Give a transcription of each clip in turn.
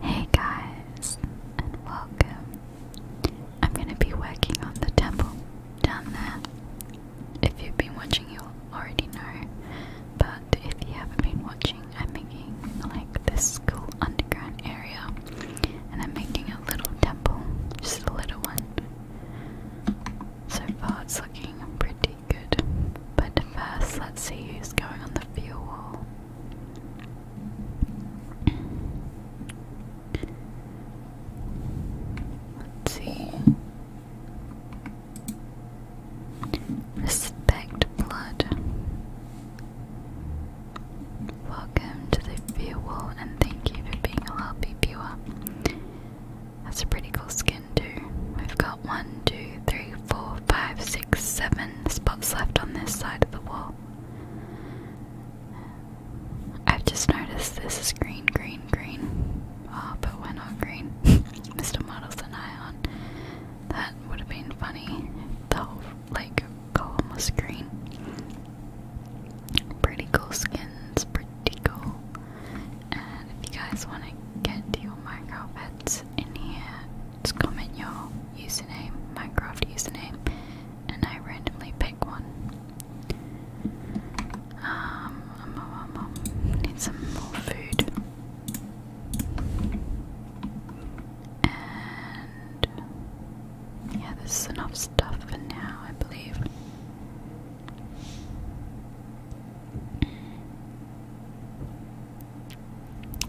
Hey guys, and welcome. I'm gonna be working on the temple down there. If you've been watching, you'll already know. But if you haven't been watching, I'm making like this cool underground area, and I'm making a little temple, just a little one. So far, it's looking pretty good. But first, let's see who's going on the fuel wall. Let's see. Respect blood. Welcome to the viewer and thank you for being a happy viewer. That's a pretty cool skin too. We've got one, two, three, four, five, six, seven spots left on this side of the wall. I've just noticed this is green, green, green. Ah, but we're not green. Mr. Model's an ion. That would have been funny if the whole like column was green. Pretty cool skins, pretty cool. And if you guys want to get your micro heads in here, just comment your username, Minecraft username, and I randomly pick one. Um, um, um, um, need some more food. And yeah, this is enough stuff for now, I believe.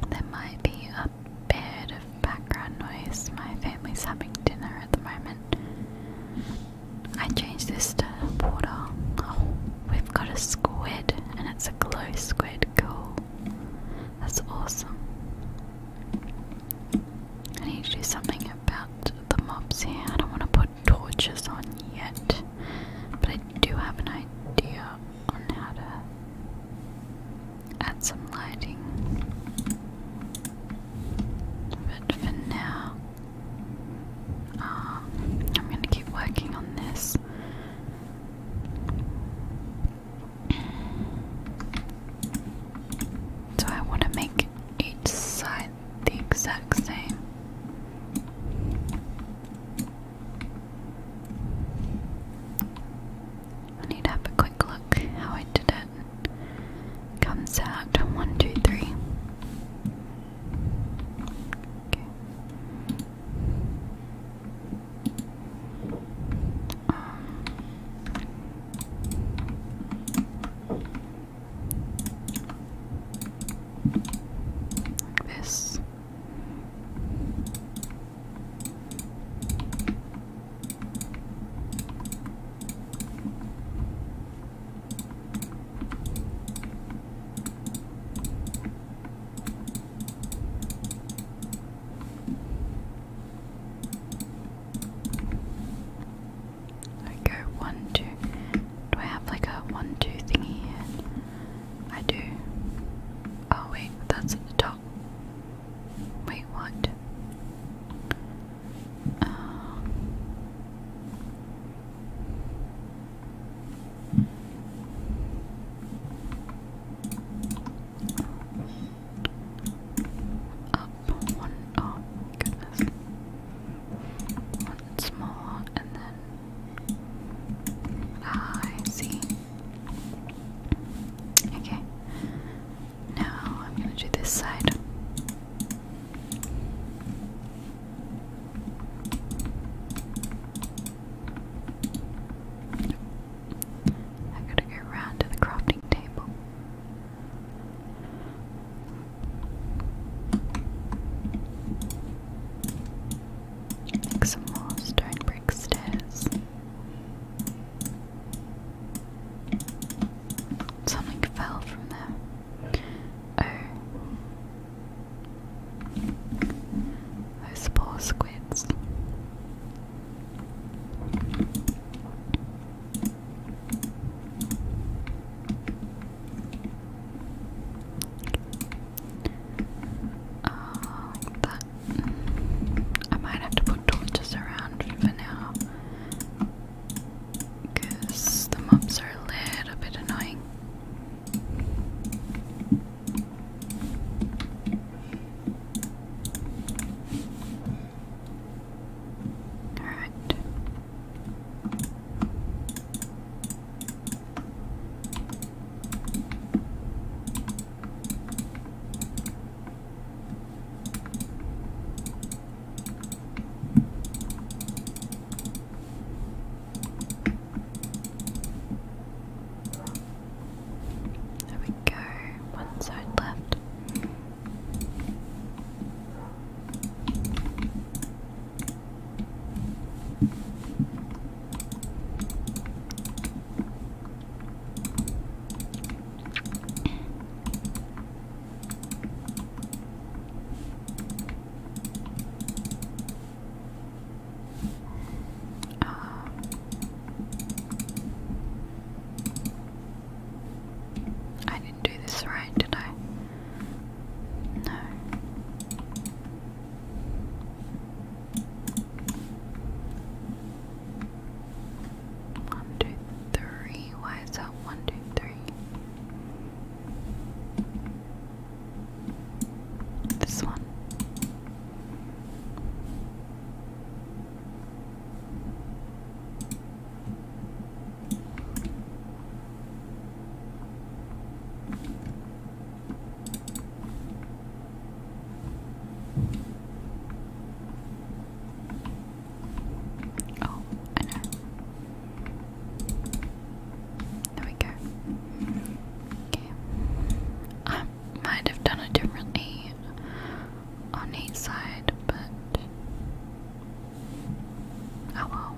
There might be a bit of background noise. My family's having dinner at the moment. I changed this to water. Oh, we've got a squid, and it's a glow squid. Cool. That's awesome. I need to do something about the mobs here. I don't want to put torches on yet, but I do have an idea on how to add some lighting. But for now, uh, I'm going to keep working on this. So I want to make each side the exact same. I need to have a quick look how I did it. Comes out one, two, three. Okay. Um, like this. I go one, two. Do I have like a one, two thing here? I do. Oh, wait, that's at the top. Wait, what? Um, up one, oh my One smaller and then Ah, I see. Okay. Now I'm gonna do this side. I gotta go around to the crafting table. Make some more stone brick stairs. Something fell from there. Oh. Those poor squids. Uh, I might have to put torches around for now, because the mobs are a little bit annoying. All right. There we go, one side left. Um, I didn't do this right, did I? No. One, two, three. Why is that one, two, three? This one. Oh, I know. There we go. Okay. I might have done it differently on each side, but. Oh well.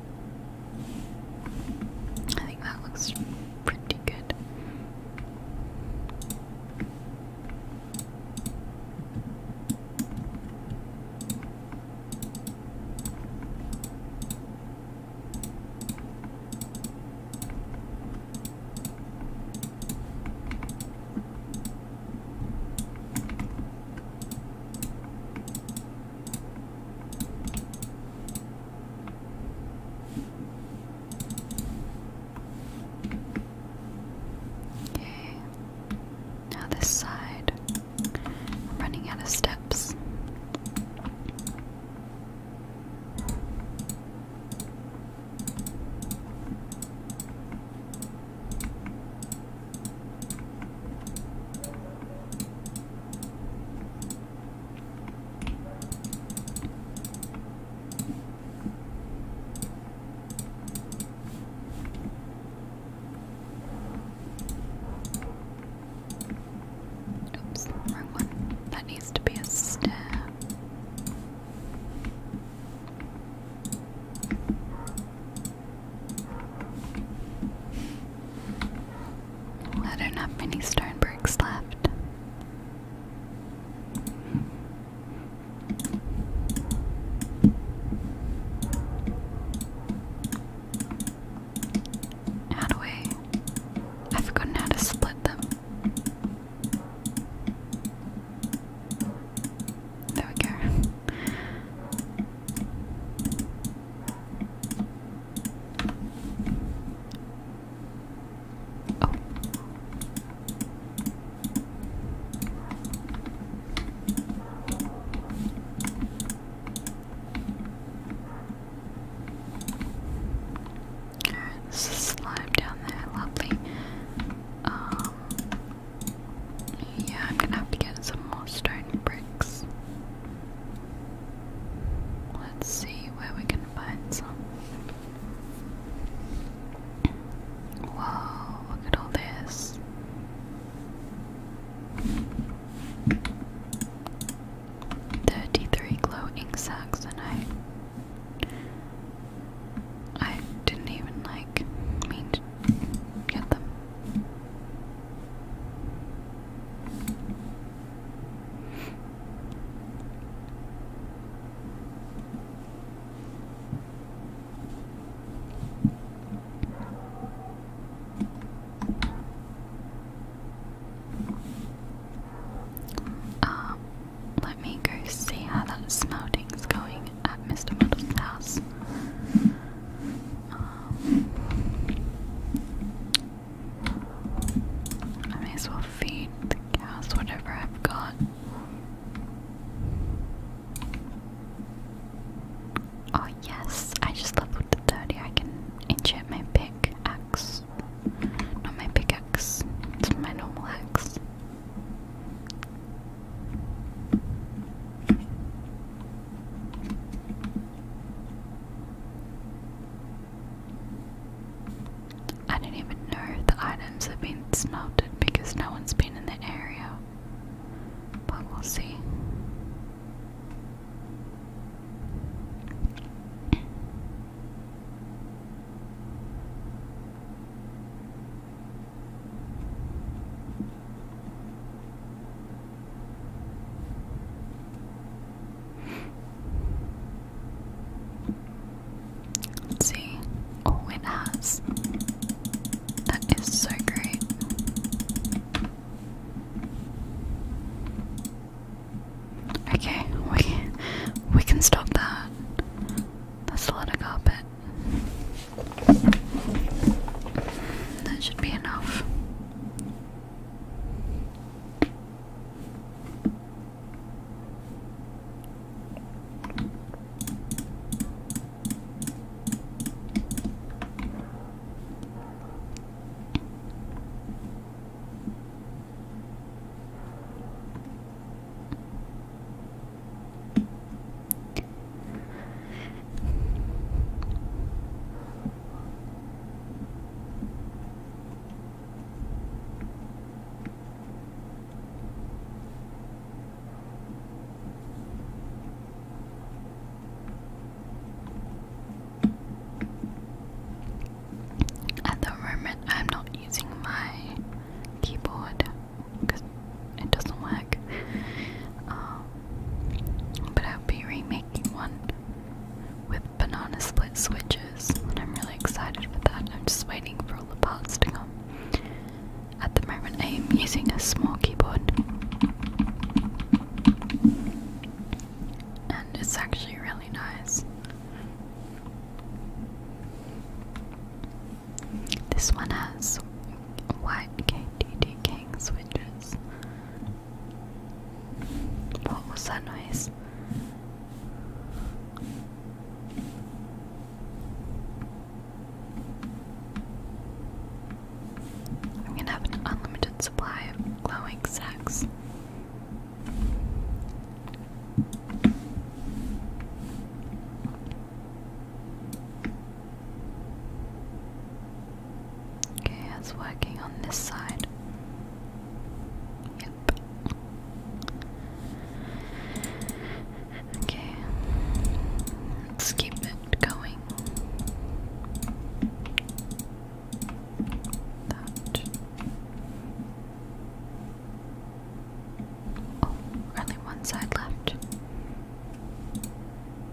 I think that looks pretty good. Okay. Now this side. running out of steps. Oops, wrong one. That needs to be a stair. I don't have many stone bricks left. How do I? I've forgotten how to split them. There we go. Oh. There's a slime down there, lovely. Um, yeah, I'm gonna have to get some more stone bricks. Let's see where we can find some. Wow, look at all this. Thirty-three glow ink sacks, and I, I didn't even like mean get them. Um, let me go see how that smelting's going at Mr. Muddle's house. Um, I may as well feed the cows whatever I've got. Oh, yes, I just leveled to 30. I can enchant my pickaxe. Not my pickaxe, it's my normal axe. I don't even know if the items have been smelted because no one's been in the area. But we'll see see. Oh, it has. That is so great. Okay, we we can stop that. That's a lot of carpet. That should be enough. At the moment, I'm not using my keyboard it doesn't work. Um, but I'll be remaking one with banana split switches, and I'm really excited for that. I'm just waiting for all the parts to come. At the moment, I am using a small keyboard, and it's actually really nice. This one has White KDD King switches. What was that noise? I'm gonna have an unlimited supply of glowing sacks. Okay, it's working on this side. Yep. Okay. Let's keep it going. Oh, only one side left.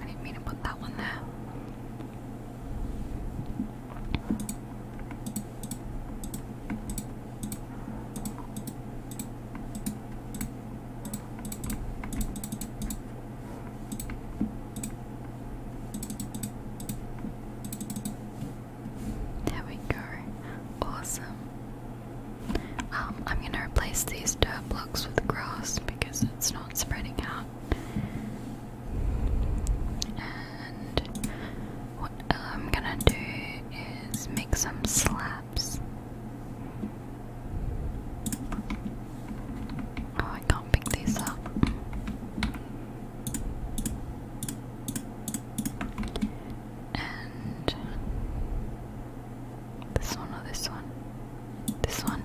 I didn't mean to put that one there. There we go. Awesome. Um, I'm gonna replace these dirt blocks with grass because it's not spreading out what I'm gonna do is make some slaps. Oh, I can't pick these up. And this one or this one? This one.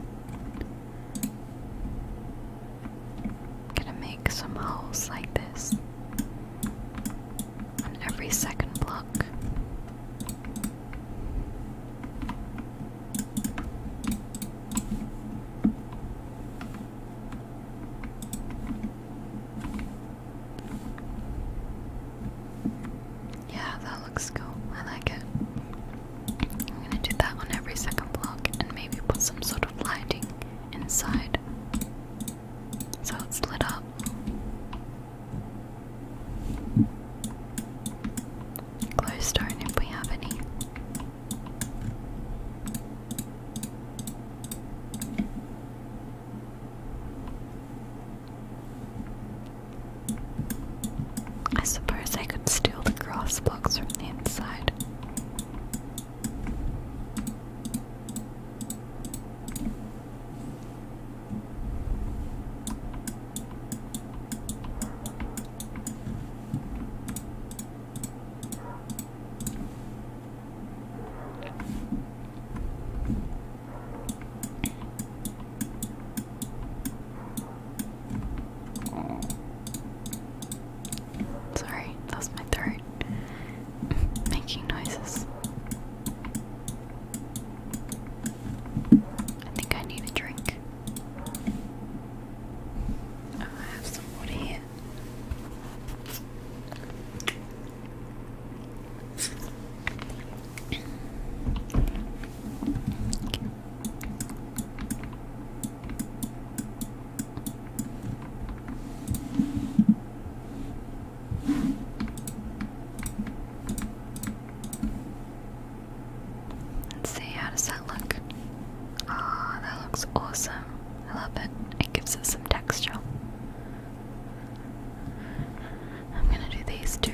I'm gonna make some holes like this on every second block. Yeah, that looks cool. I like it. I'm gonna do that on every second block and maybe put some sort of lighting inside so it's lit up. Glowstone if we have any. I suppose I could steal the grass blocks from the inside. Sorry, that's my throat making noises. I think I need a drink. Oh, I have some water here. Let's see, how does that look? oh, that looks awesome. I love it. It gives us some texture. I'm gonna do these two.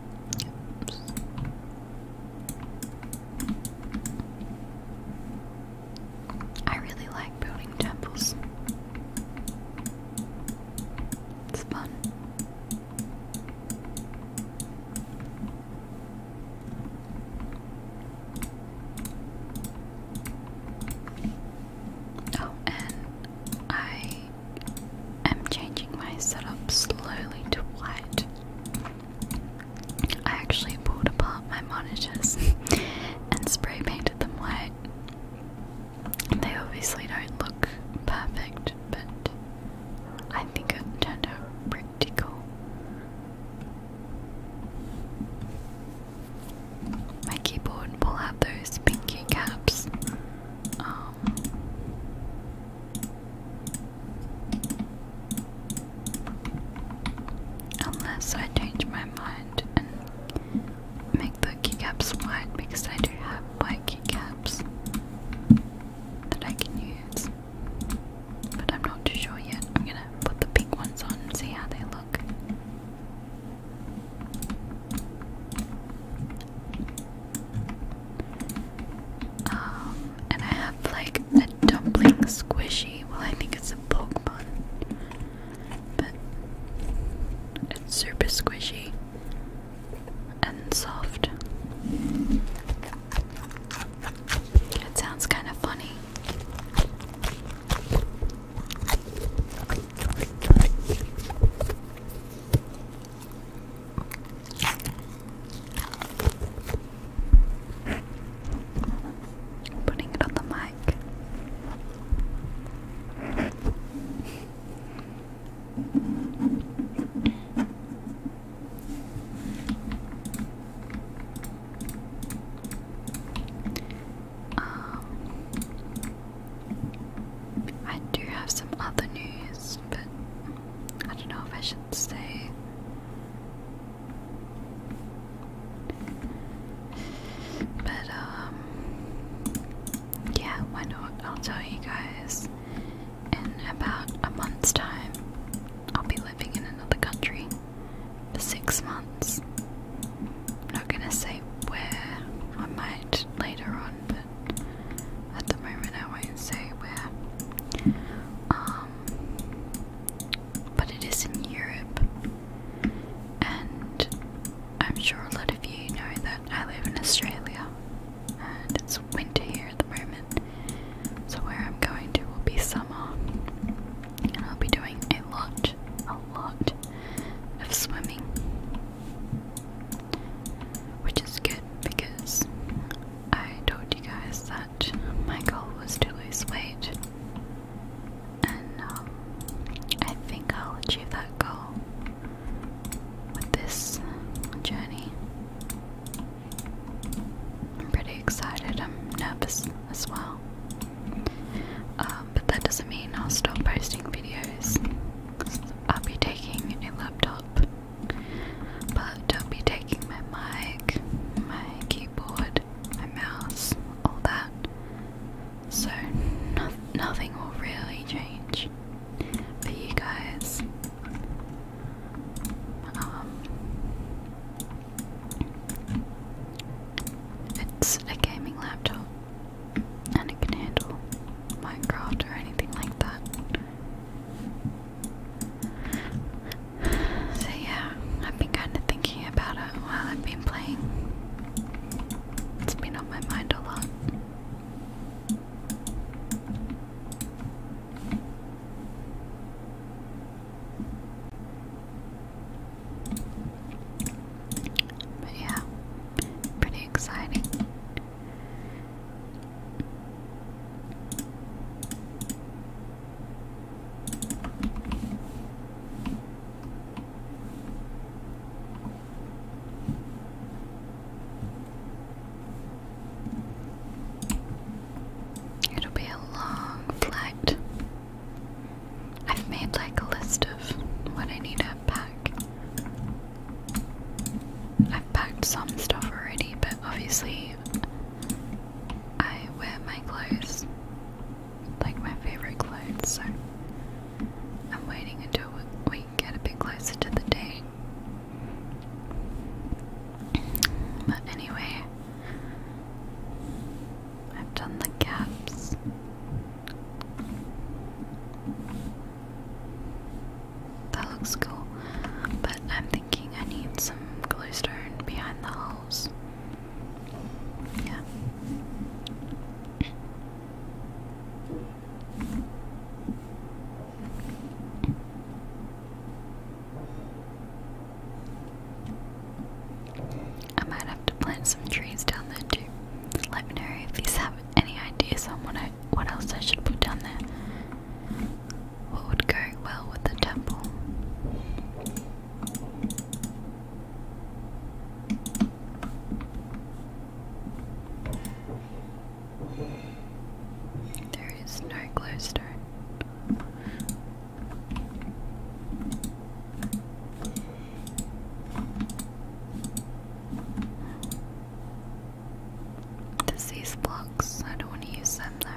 Oops. I really like building temples. It's fun. Oh, and I i am changing my setup slowly to white. I actually pulled apart my monitors and spray painted them white. They obviously don't look perfect, but I think it turned out pretty cool. My keyboard will have those pinky caps. Um, Unless I change my mind and make the keycaps white because I do have white keycaps that I can use. But I'm not too sure yet. I'm gonna put the pink ones on and see how they look. Um, and I have like a dumpling squishy. Well, I think it's a Pokemon, but it's super squishy and soft. It sounds kind of funny. I'm putting it on the mic. Um, I do have some other news, but I don't know if I should say. But, um, yeah, why not? I'll tell you guys in about a month's time. I'll be living in another country for six months. I'm not gonna say where, I might later on, but at the moment I won't say where. Um, but it is in Europe, and I'm sure a lot of you know that I live in Australia, and it's winter here at the moment. So where I'm going to will be summer, and I'll be doing a lot, a lot of swimming. Which is good because I told you guys that my goal was to lose weight. And um, I think I'll achieve that goal with this journey. I'm pretty excited, I'm nervous as well. Um, but that doesn't mean I'll stop posting videos. I'll be taking a new laptop, but don't be taking my mic, my keyboard, my mouse, all that. So nothing will really change But you guys. Um, it's a gaming laptop and it can handle Minecraft or anything like that. So yeah, I've been kind of thinking about it while I've been playing. It's been on my mind a lot. But yeah, pretty exciting. It'll be a long flight. I've made like a list of what I need to pack. I've packed some stuff already, but obviously I wear my clothes, like my favourite clothes, so I'm waiting until we get a bit closer to the day. But anyway, I've done the caps. That looks cool. But I'm thinking I need some glowstone behind the holes. Yeah. I might have to plant some trees down there too. Let me know if these happen any ideas on what, what else I should put down there. What would go well with the temple? There is no glowstone these blocks. I don't want to use them though.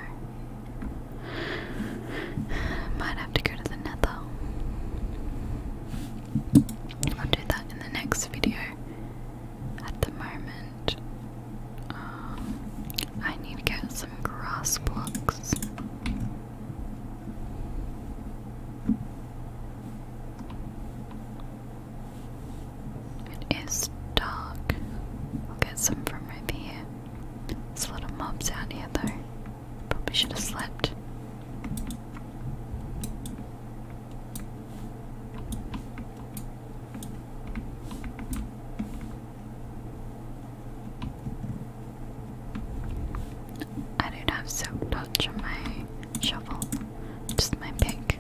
Might have to go to the nether. I'll do that in the next video. At the moment, uh, I need to get some grass blocks. It is dark. I'll get some from over here. There's a lot of out here though. Probably should have slept. I don't have soap touch on my shovel, just my pick.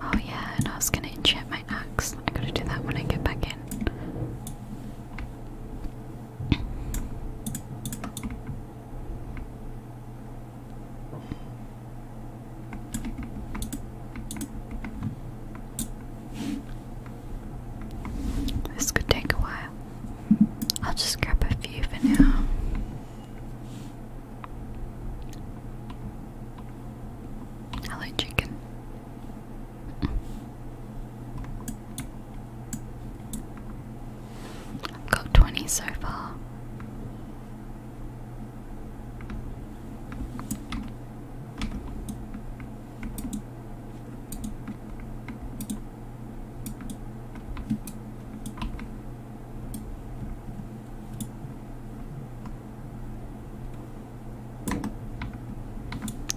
Oh yeah, and I was gonna enchant my axe. I gotta do that when I get back in. This could take a while. I'll just grab a few for now. Hello, chicken. I've got 20 so far.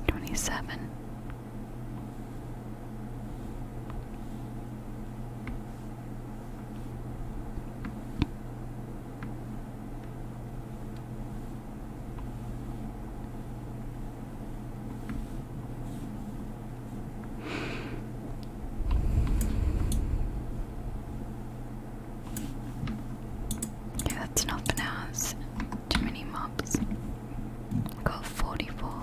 Twenty-seven. Okay, that's not for now. too many mobs. got 44.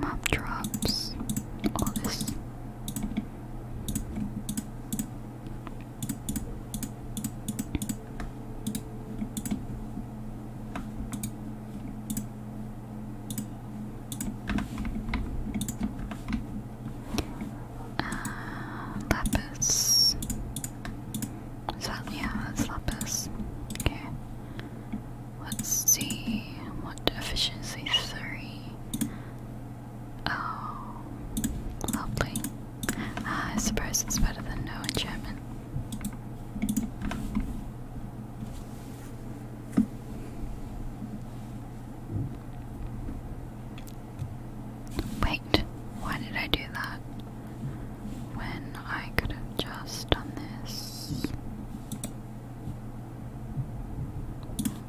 Mop drops, all this. Uh, lapis. yeah, that's lapis. Okay. Let's see. What efficiency? Three. Oh, lovely. Uh, I suppose it's better than no enchantment. Wait, why did I do that? When I could have just done this.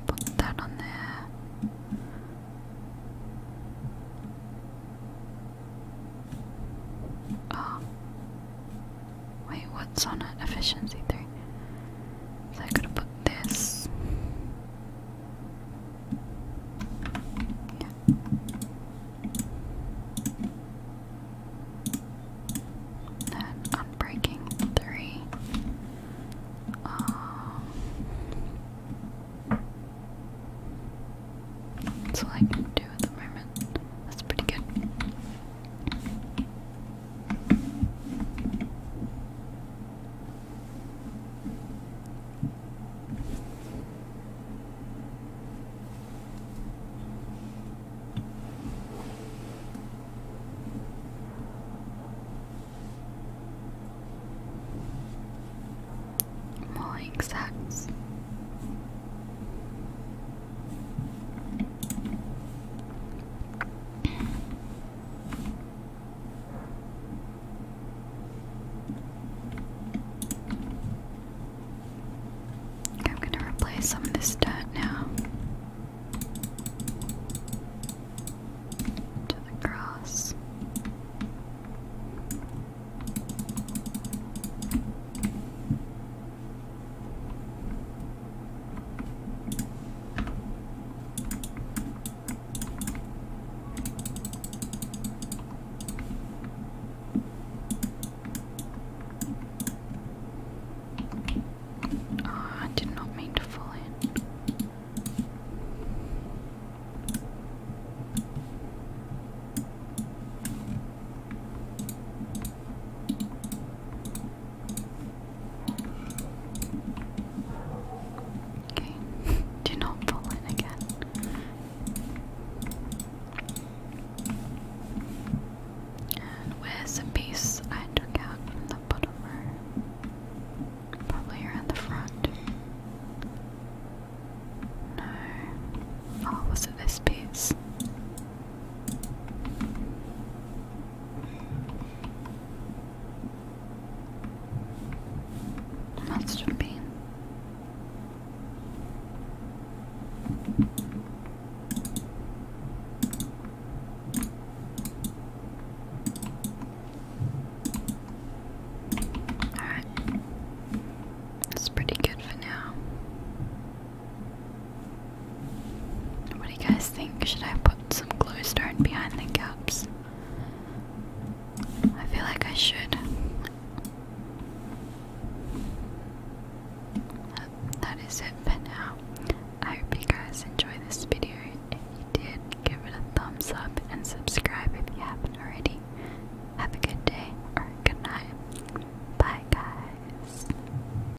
Put that on there. Oh. Wait, what's on it? Efficiency 3. So I gotta put this. Then unbreaking three. that's um, all I can do at the moment. That's pretty good. More exacts. I'm going to replace some of this dirt now to the grass. Oh, I did not mean to fall in. Okay, do not fall in again. And where's the piece I took out from the bottom Probably here the front. No. Oh, was this piece? Must Alright. That's pretty good for now. What do you guys think? Should I put some glowstone behind the gaps? I feel like I should. that is it for now. I hope you guys enjoyed this video. If you did, give it a thumbs up and subscribe if you haven't already. Have a good day or a good night. Bye, guys.